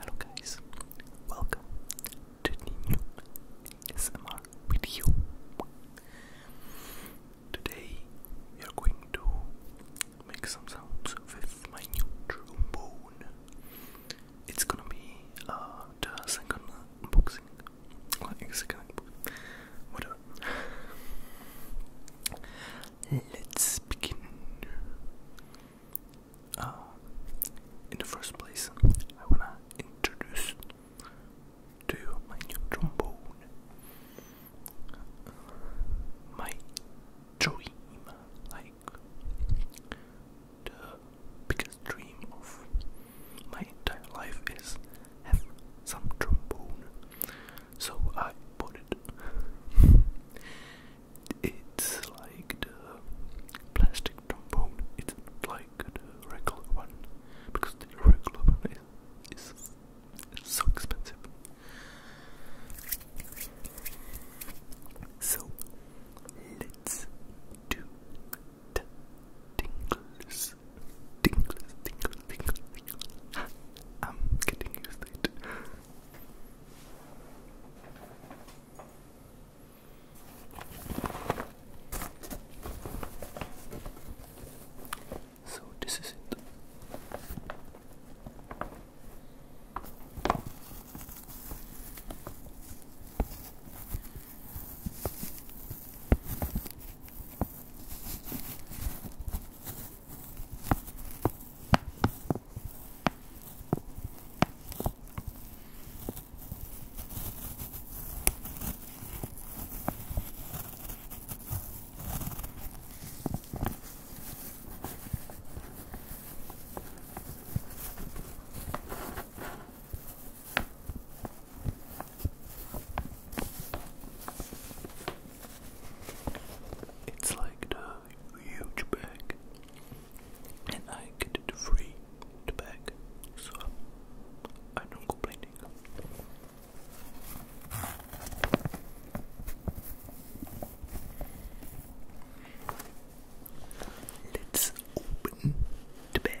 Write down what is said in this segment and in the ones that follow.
Hello guys, welcome to the new SMR video. Today we are going to make some sounds with my new trombone. It's gonna be uh, second unboxing, like second Let's begin. Um, in the first place, I wanna introduce to you my new trombone. My dream, like the biggest dream of my entire life, is have some trombone. So I bought it. It's like the plastic trombone. It's like the regular one because the regular one is, is so expensive. So let's do the tingles, tingles, tingles, tingles, tingles. I'm getting used to it. So this is it. It's like the uh, huge bag, and I get it free, the bag, so I'm not complaining. Let's open the bag.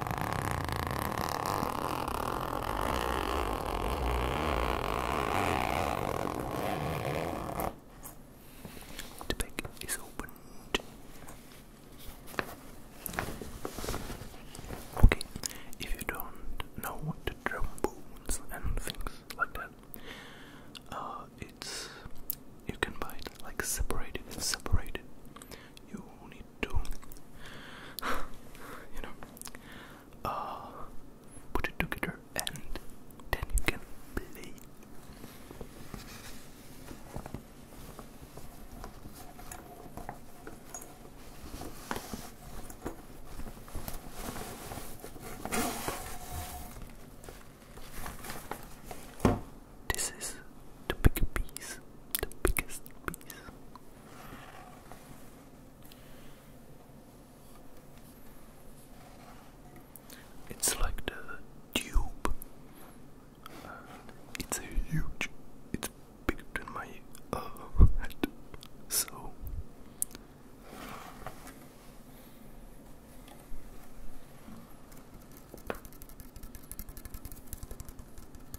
The bag is opened. Okay, if you don't know what to trombones and things like that, uh, it's you can buy it like separated. separated. You only I you know, uh, put it together and then you can play. This is the big piece, the biggest piece. It's like the tube. Uh, it's huge. It's bigger than my uh, head. So.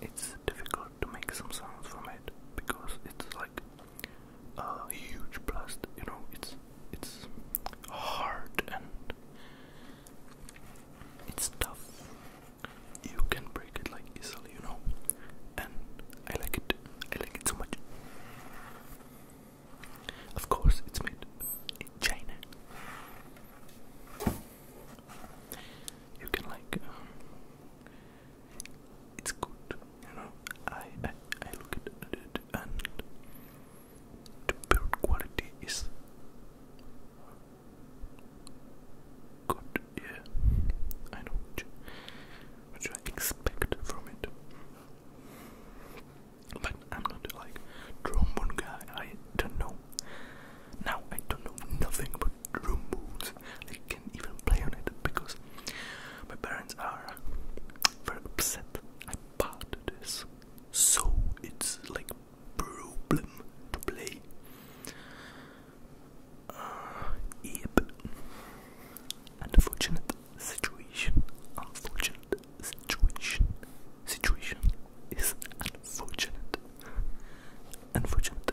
It's difficult to make some sounds from it because it's like a huge blast, you know, it's it's hard and it's tough. You can break it like easily, you know. And I like it. I like it so much. Of course, it's made in China. You can like. Um, it's good, you know. I I, I look at it and the build quality is Good, yeah. I know what you, expect from it. But I'm not like trombone guy. I don't know. Now I don't know nothing about trombones. I can even play on it because my parents are very upset about this. So it's like problem to play. Uh, yep. Unfortunate situation. Unfortunate situation. Situation is unfortunate. Unfortunate.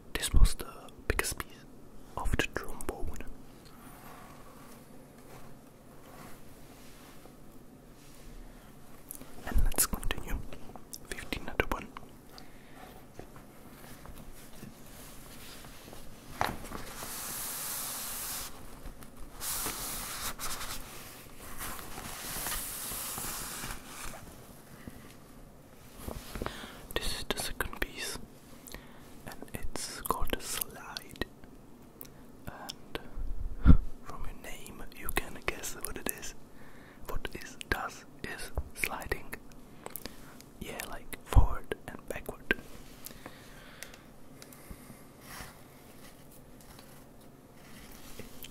This was the biggest piece of the trombone. And let's continue. 15 this is the second piece, and it's called a Slide. And from your name, you can guess what it is. What it does is sliding. Yeah, like forward and backward.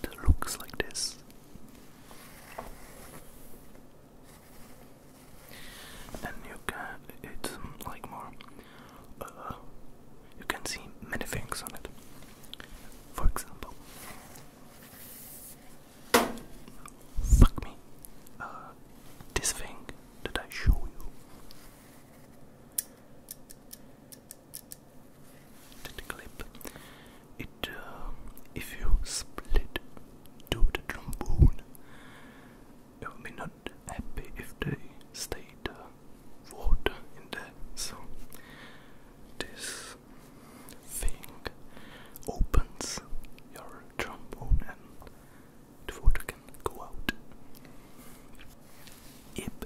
It looks like this and you can it's um, like more uh, you can see many things on it for example fuck me uh, this thing that I show you that clip it uh, if you split to the trombone. It would be not happy if they stayed water in there. So this thing opens your trombone and the water can go out. Yep.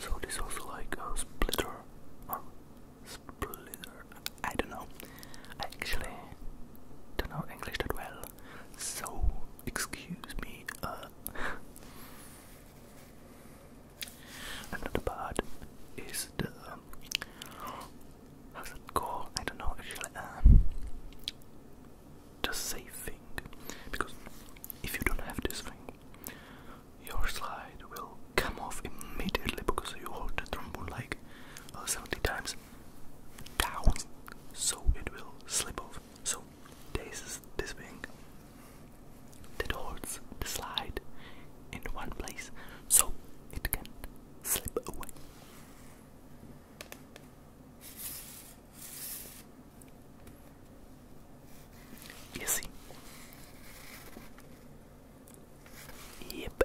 So this was like a uh, splitter or splitter. I don't know. I actually don't know English that well. So, excuse me, uh. Another part is the. Um, how's it called? I don't know, actually. Uh, the saving. Because if you don't have this thing, your slide will come off immediately because you hold the trombone like uh, 70 times down, so it will slip off. So this is this being that holds the slide in one place so it can slip away. You see? Yep.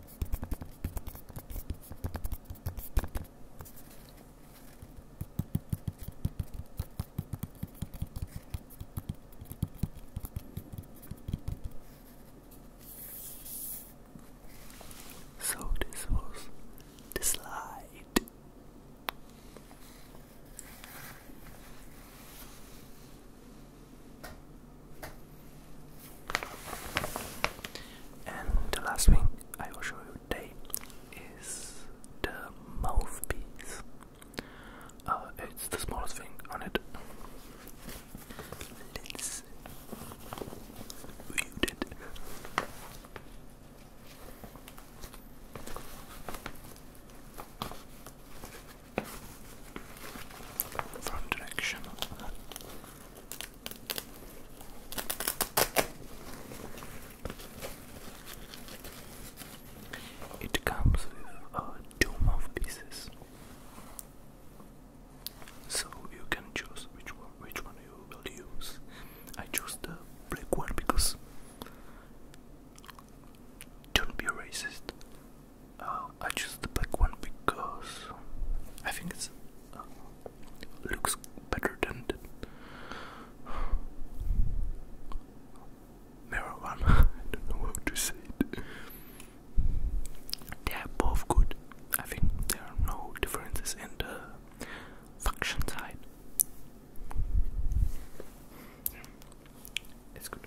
So this was the slide. And the last thing I will show you today is the mouthpiece. Uh, it's the smallest thing on it. Let's front direction. It comes with a uh, of pieces, so you can choose which one which one you will use. I choose the black one because don't be racist. Uh, I choose the black one because I think it's uh, looks better than the mirror one. I don't know how to say it. They are both good. I think there are no differences in the function side. It's good.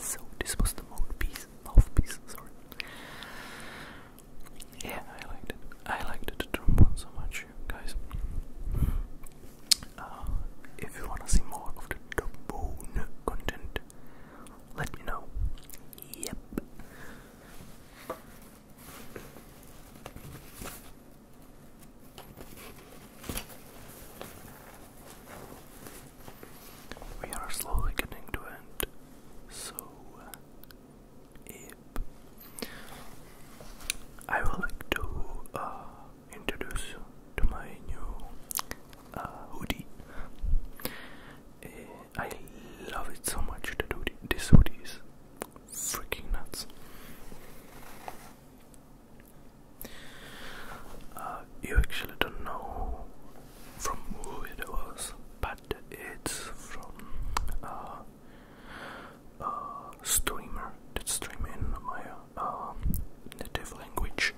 So this was the mouthpiece, mouthpiece, sorry. Yeah, I liked it. I liked the trombone so much, guys. Uh, if you wanna see more of the trombone content, let me know. Yep. We are slowly getting to end, so uh, I would like to uh, introduce to my new uh, hoodie. Eh, I love it so much. The hoodie, this hoodie is freaking nuts. Uh, you actually don't know from who it was, but it's from a uh, uh, streamer that stream in my um, native language.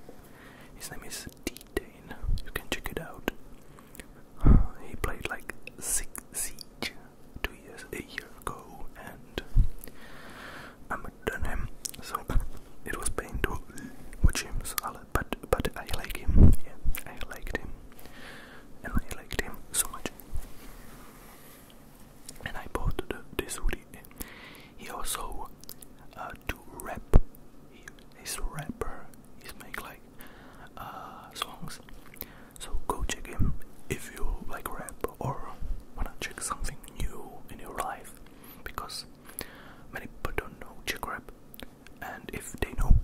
His name is D-Dane. You can check it out. he played like Six two years, a year ago, and I'm done him. So it was pain to watch him, so but but I liked him. Yeah, I liked him, and I liked him so much. And I bought this hoodie. He also uh, do rap. He is a rapper. He's make like uh, songs. So go check him if you like rap or wanna check something new in your life because many people don't know check rap and if they know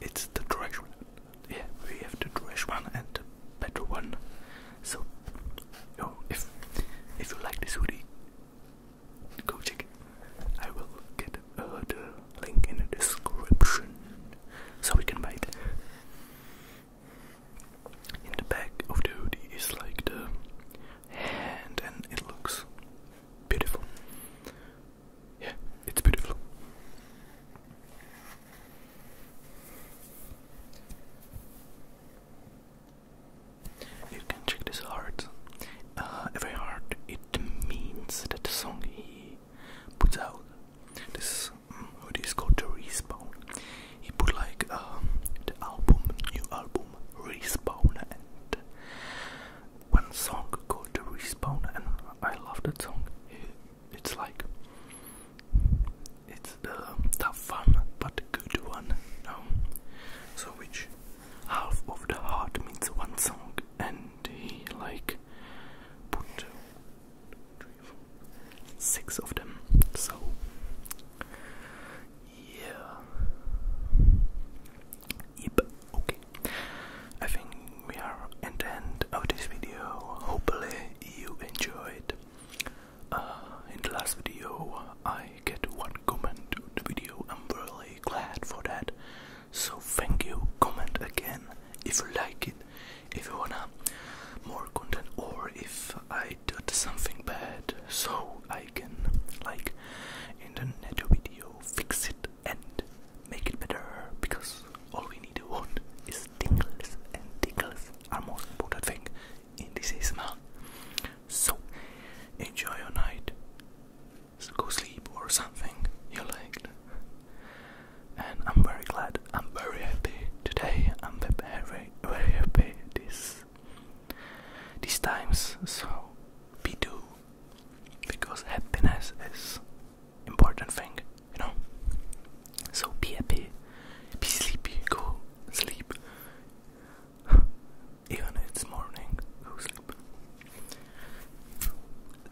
it's the trash one. Yeah, we have the trash one and the better one. So you if if you like this hoodie go check I will get a uh, order link in the description so we can buy it. In the back of the hoodie is like the and it looks beautiful. Yeah, it's beautiful. You can check this heart. every uh, heart it means that song puts out this um, is called the Respawn. He put like um, the album, new album Respawn, and one song called the Respawn, and I love that song. It's like it's the um, tough one but good one. No, so which half of the heart means one song, and he like put two, three, four, six of them. So, yeah. Yep, okay. I think we are at the end of this video. Hopefully, you enjoyed. Uh, in the last video, I get one comment the video. I'm really glad for that. So thank you. Comment again if you like it, if you wanna more content, or if I did something bad, so I can like in the next video fix it and make it better. Because all we need to want is tingles, and tingles are most important thing in this ASMR. So enjoy your night go sleep or something you like, And I'm very glad, I'm very happy today. I'm very, very happy this these times. So be do because happiness is important thing, you know. So be happy, be sleepy, go sleep. Even it's morning, go sleep.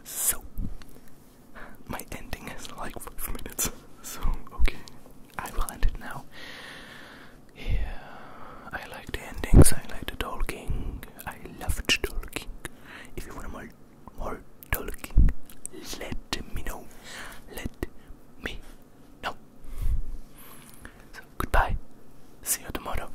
So, my ending is like five minutes. So, okay, I will end it now. Yeah, I like the endings, I like the talking. I love the talking. If you want more, more talking, let me know. Let me know. So, goodbye. See you tomorrow.